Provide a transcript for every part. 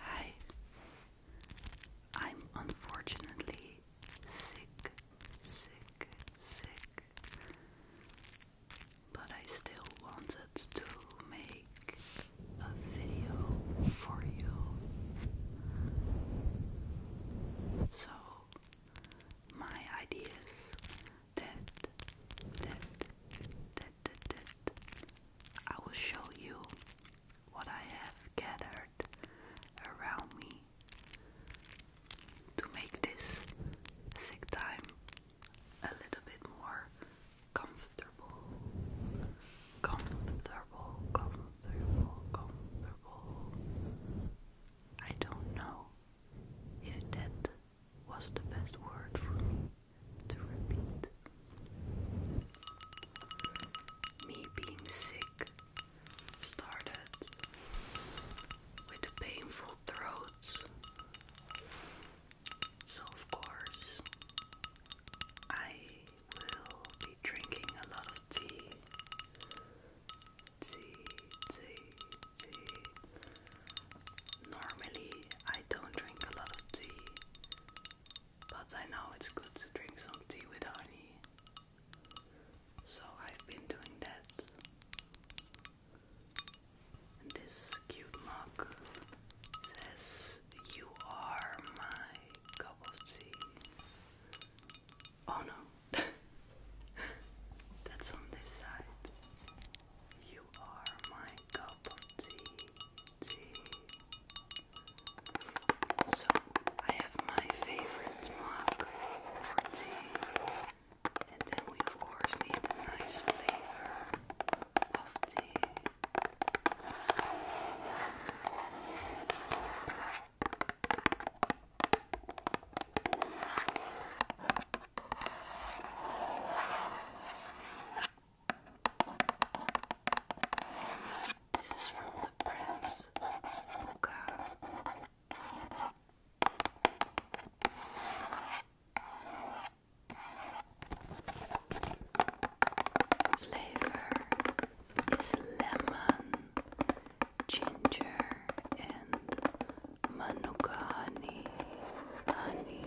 Hi, I'm unfortunately sick, sick, sick, but I still wanted to make a video for you. So, my ideas that, that, that, that, that I will show you what I have gathered around me to make this sick time a little bit more comfortable. Comfortable, comfortable, comfortable. I don't know if that was the best word for me to repeat. Me being sick started with the painful throats. So, of course, I will be drinking a lot of tea. Tea, tea, tea. Normally, I don't drink a lot of tea, but I know it's good to drink some tea with honey. So I've been doing that. this cute mug says, You are my cup of tea. Oh no, that's on this side. You are my cup of tea. So I have my favorite mug for tea. And then we of course need a nice flavor of tea. This is from the Prince Luca. Flavor is lemon, ginger, and manuka honey. Honey.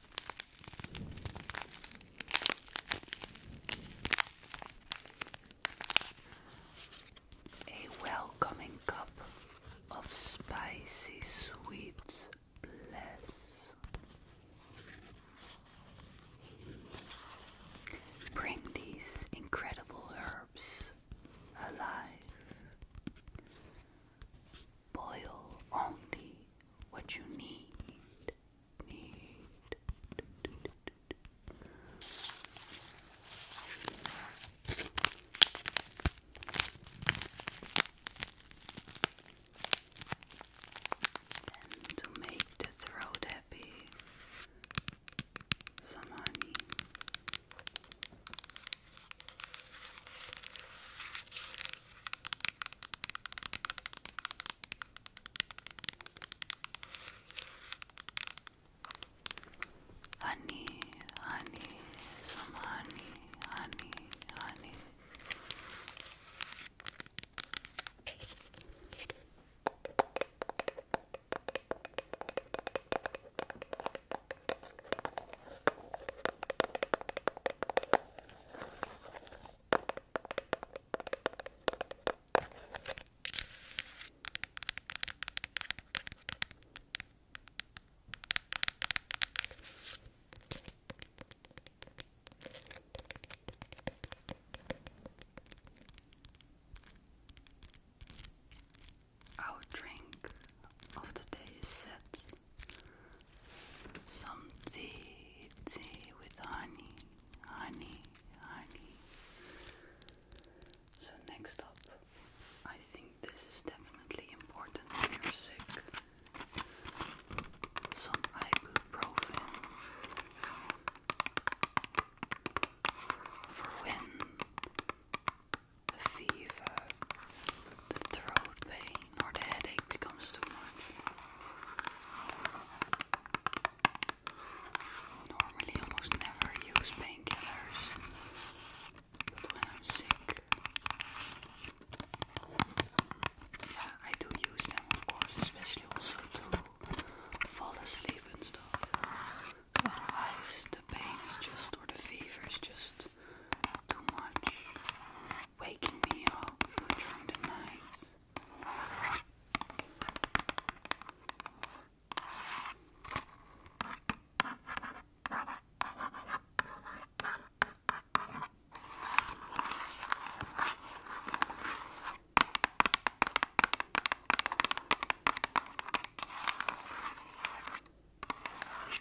A welcoming cup of spicy sweets bless. Bring these incredible herbs alive Boil only what you need. to make the throat happy, some honey. Honey, honey, some honey, honey, honey. Our drink of the day is set some tea, tea with honey, honey, honey. So, next up, I think this is definitely important when you're sick. Some ibuprofen for when the fever, the throat pain, nor the headache becomes too much. Normally, almost never use painkillers, but when I'm sick, yeah, I do use them, of course, especially also to fall asleep and stuff. Otherwise, the pain is just, or the fever is just too much waking me up during the nights.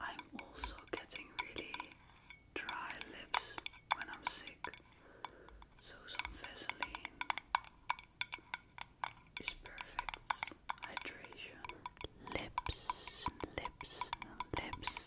I'm also getting really dry lips when I'm sick, so some Vaseline is perfect hydration. Lips, lips, lips.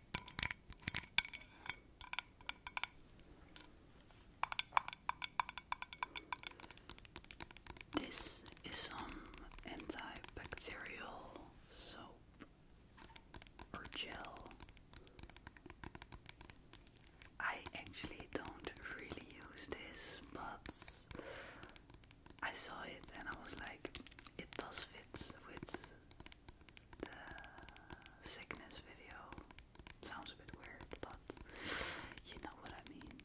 This is some antibacterial soap or gel. I actually don't really use this, but I saw it and I was like, it does fit with the sickness video. Sounds a bit weird, but you know what I mean.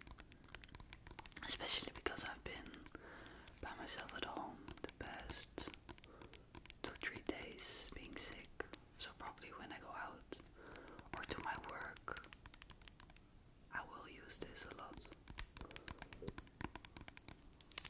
Especially because I've been by myself at home the past two, three days being sick. So, probably when I go out or to my work, I will use this a lot.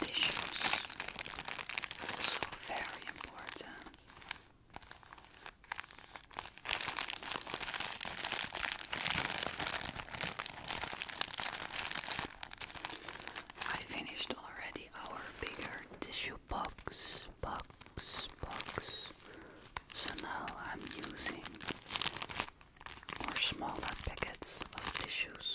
Tissues also very important. I finished already our bigger tissue box box, box. So now I'm using more smaller packets of tissues.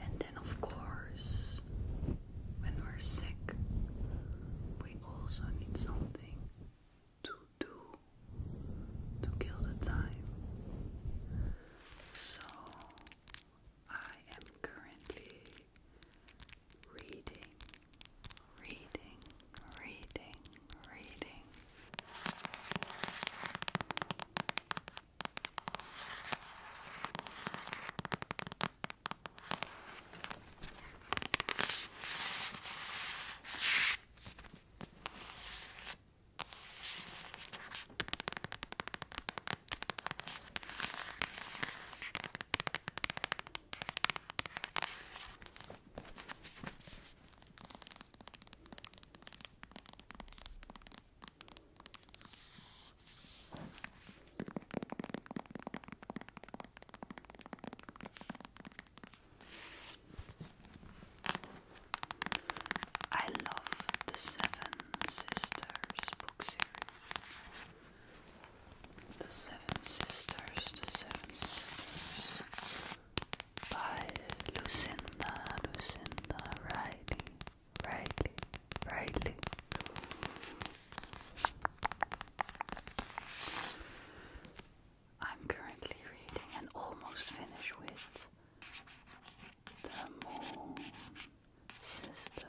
And then, of course, when we're sick, we also need something to do to kill the time. So, I am currently reading, reading, reading, reading. I love the Seven Sisters book series. The Seven Sisters, The Seven Sisters by Lucinda, Lucinda Riley, Riley, Riley. I'm currently reading and almost finished with The Moon Sister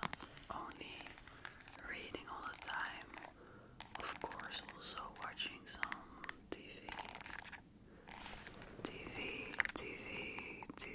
Not only reading all the time, of course, also watching some TV. TV, TV, TV.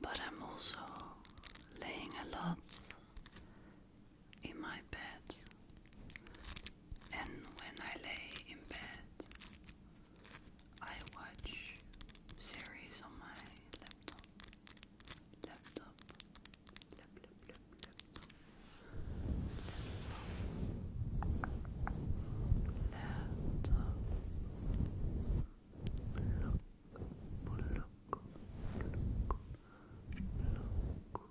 But I'm also laying a lot in my bed, and when I lay in bed, I watch series on my laptop. Laptop, lap, laptop, laptop, laptop,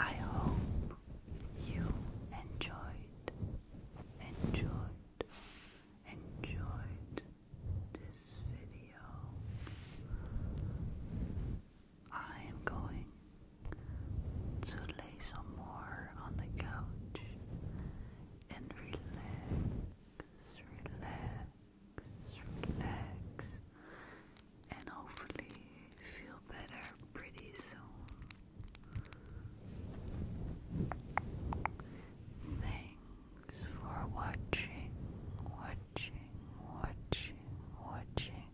I hope you enjoyed, enjoyed, enjoyed this video. I am going to lay some more on the couch and relax, relax, relax, and hopefully feel better pretty soon. Thanks for watching, watching, watching, watching.